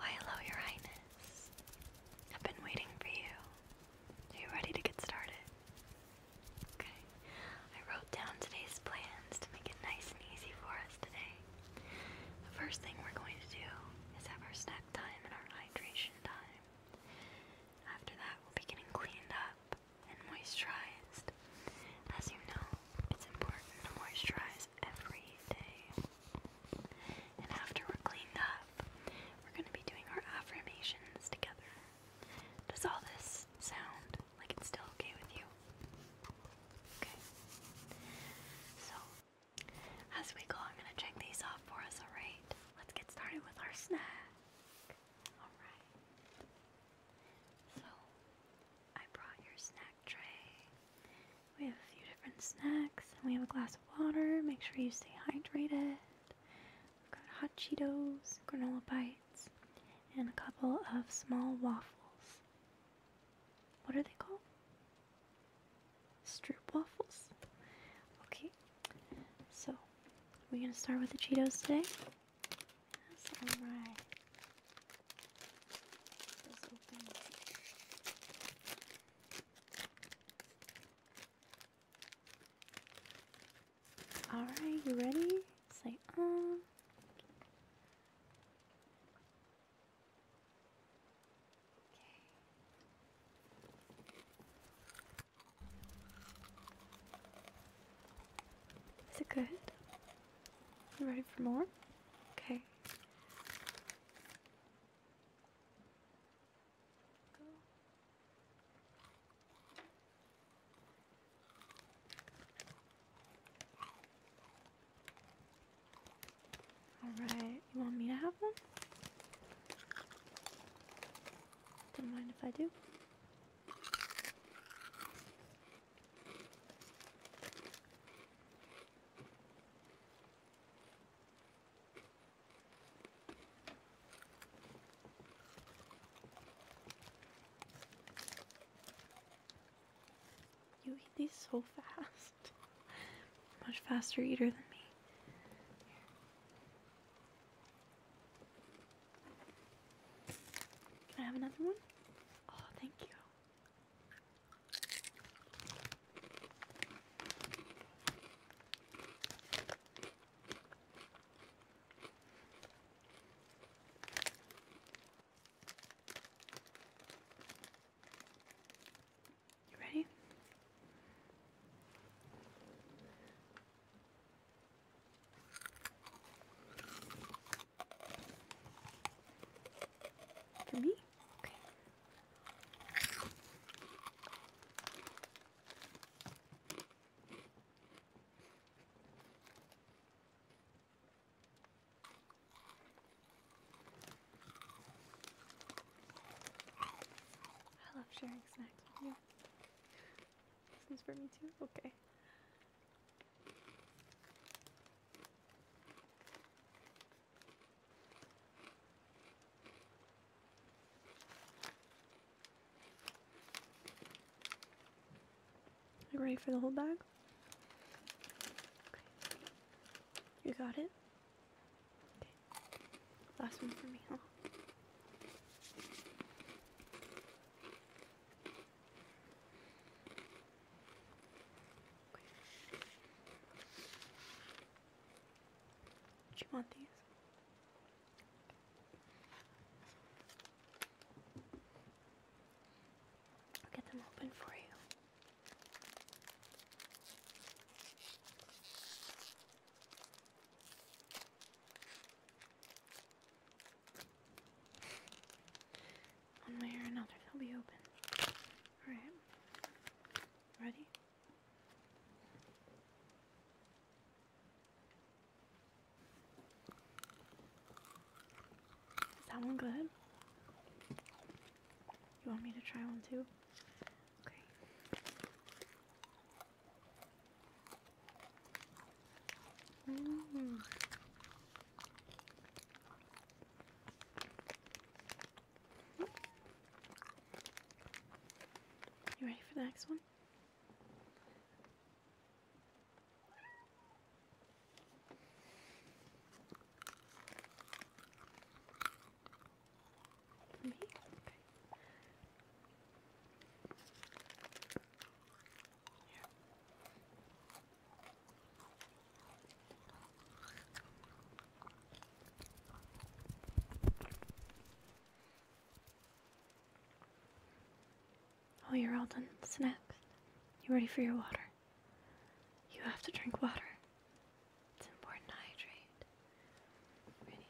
Why hello, Your Highness. I've been waiting for you. Are you ready to get started? Okay. I wrote down today's plans to make it nice and easy for us today. The first thing we're going to do is have our snack time and our hydration time. After that, we'll be getting cleaned up and moisturized. As you know, it's important to moisturize every day. And after we're cleaned up, we're going to be doing our affirmations together. Does all this sound like it's still okay with you? Okay. So, as we go, I'm going to check these off for us, alright? Let's get started with our snack. Alright. So, I brought your snack tray. We have a few different snacks, and we have a glass of water. Make sure you stay hydrated. We've got hot Cheetos, granola bites, and a couple of small waffles. What are they called? Stroop waffles? Okay, so we're gonna start with the Cheetos today. That's alright. Alright, you ready? Say um Okay. Is it good? You ready for more? Okay. Alright, you want me to have one? Don't mind if I do. You eat these so fast. Much faster eater than me. Can I have another one? Oh, thank you. You ready? For me? I love sharing snacks with you. This is for me too? Okay. You ready for the whole bag? Okay. You got it? Okay. Last one for me, do you want these? I'll get them open for you. One way or another, they'll be open. Alright. Ready? Is that one good? You want me to try one too? Okay. You ready for the next one? Oh, you're all done with You ready for your water? You have to drink water. It's important hydrate. Ready?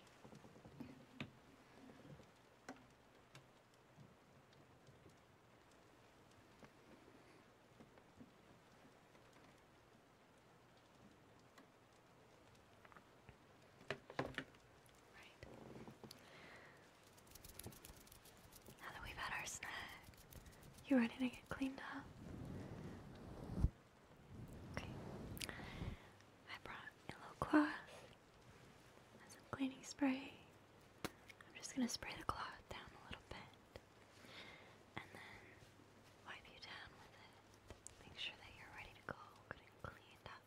Now that we've had our snack, you ready to get cleaned up? Okay. I brought a little cloth and some cleaning spray. I'm just going to spray the cloth down a little bit and then wipe you down with it. Make sure that you're ready to go, good cleaned up.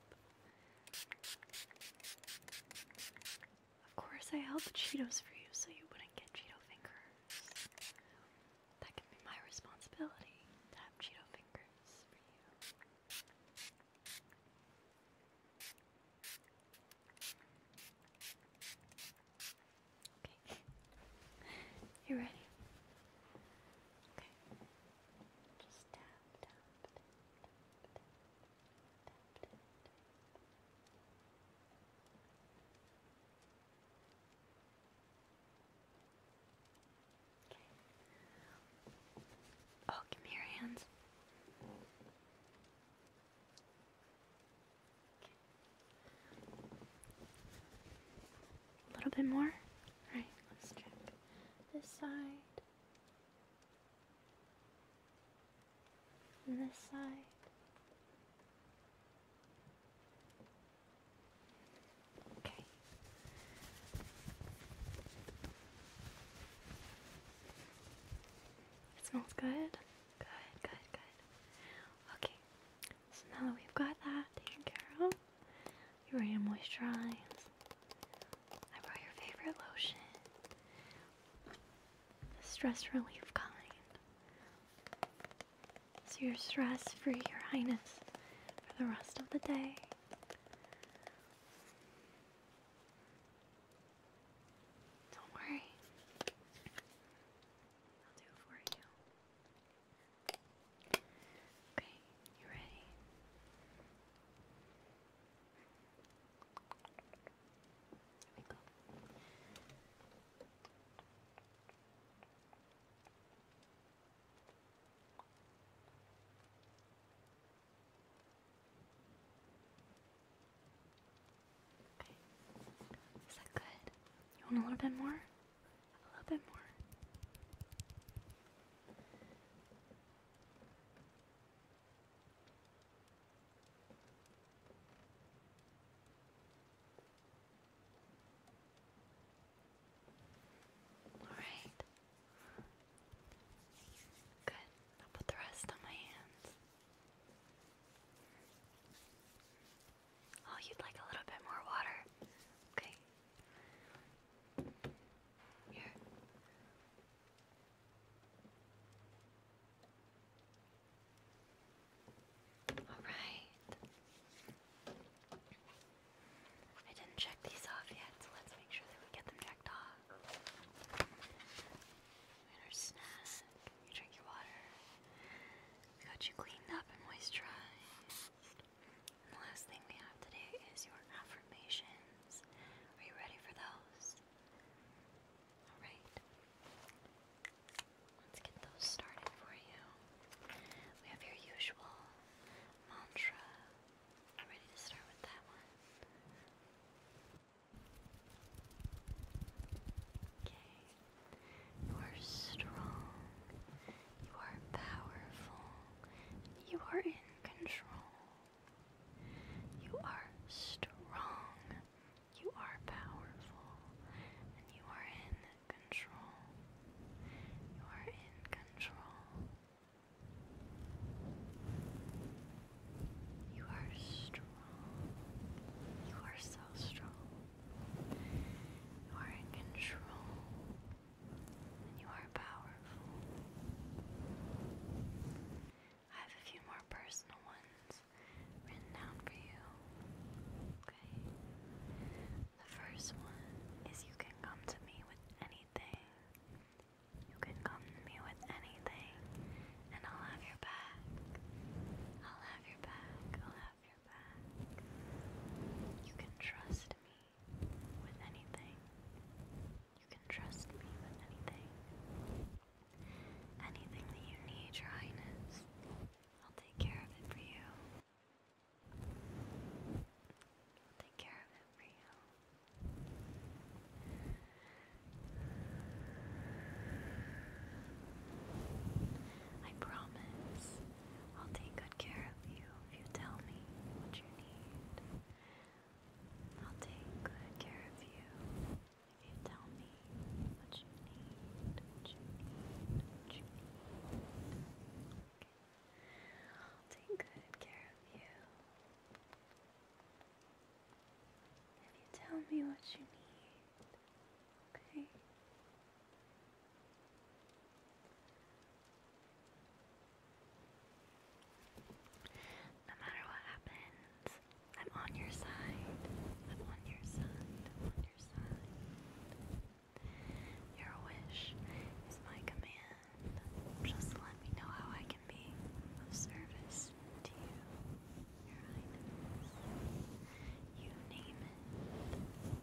Of course, I held the Cheetos for you so you wouldn't get Cheeto fingers. That can be my responsibility to have Cheeto fingers for you. Okay. you ready? Okay. Just tap, tap, tap, tap, tap, tap, tap. Oh, give me your hands. A little bit more. Alright, let's check this side. this side. Okay. It smells good. Good, good, good. Okay. So now that we've got that taken care of, you're ready to moisturize. I brought your favorite lotion. The stress relief kind. So you're stress free, your highness, for the rest of the day. Don't worry. I'll do it for you. Okay, you ready? Here we go. Is that good? You want a little bit more? A little bit more. Alright. Good. I'll put the rest on my hands. Oh, you'd like a little bit more water? Okay. Here. Alright. I didn't check these off yet, so let's make sure that we get them checked off. you drink your water, got you cleaned up and moisturized. the last thing we have today is your affirmations. Are you ready for those? Alright. Let's get those started for you. We have your usual mantra. I'm ready to start with that one. Okay. You are strong. You are powerful. You are in control. You are strong. You are powerful. And you are in control. You are in control. You are strong. You are so strong. You are in control. And you are powerful. I have a few more personal ones written down for you. Okay? The first one is you can come to me with anything. You can come to me with anything, and I'll have your back. I'll have your back. I'll have your back. You can trust me with anything. You can trust me with anything. Anything that you need, Your Highness. I'll take care of it for you. I'll take care of it for you. I promise I'll take good care of you if you tell me what you need. I'll take good care of you if you tell me what I'll take good care of you. If you tell me what you need, okay? No matter what happens, I'm on your side. I'm on your side. I'm on your side. Your wish is my command. Just let me know how I can be of service to you, You name it.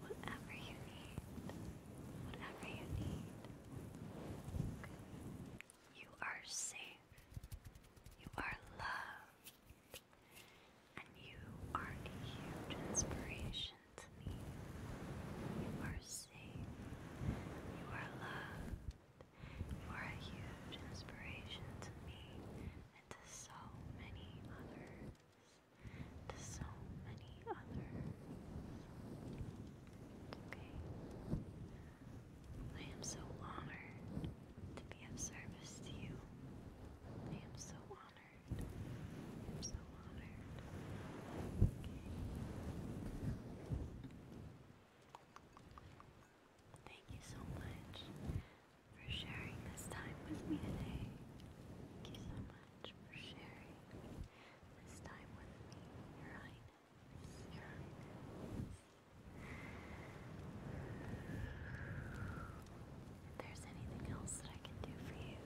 Whatever you need. Whatever you need. You are safe. You are loved and you are a huge inspiration to me. You are safe, you are loved, you are a huge inspiration to me and to so many others. To so many others. Okay. I am so honored to be of service to you. I am so honored. Thank you so much for sharing this time with me today. Thank you so much for sharing this time with me, Your Highness. Your if there's anything else that I can do for you,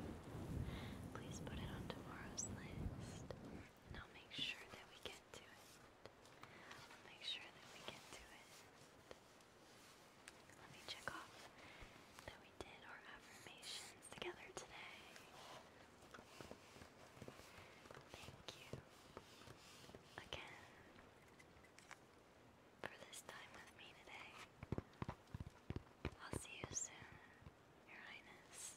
please put it on tomorrow's list, and I'll make sure that we get to it. I'll make sure that we get to it. Let me check off that we did our affirmations together today. Thank you again for this time with me today. I'll see you soon, Your Highness.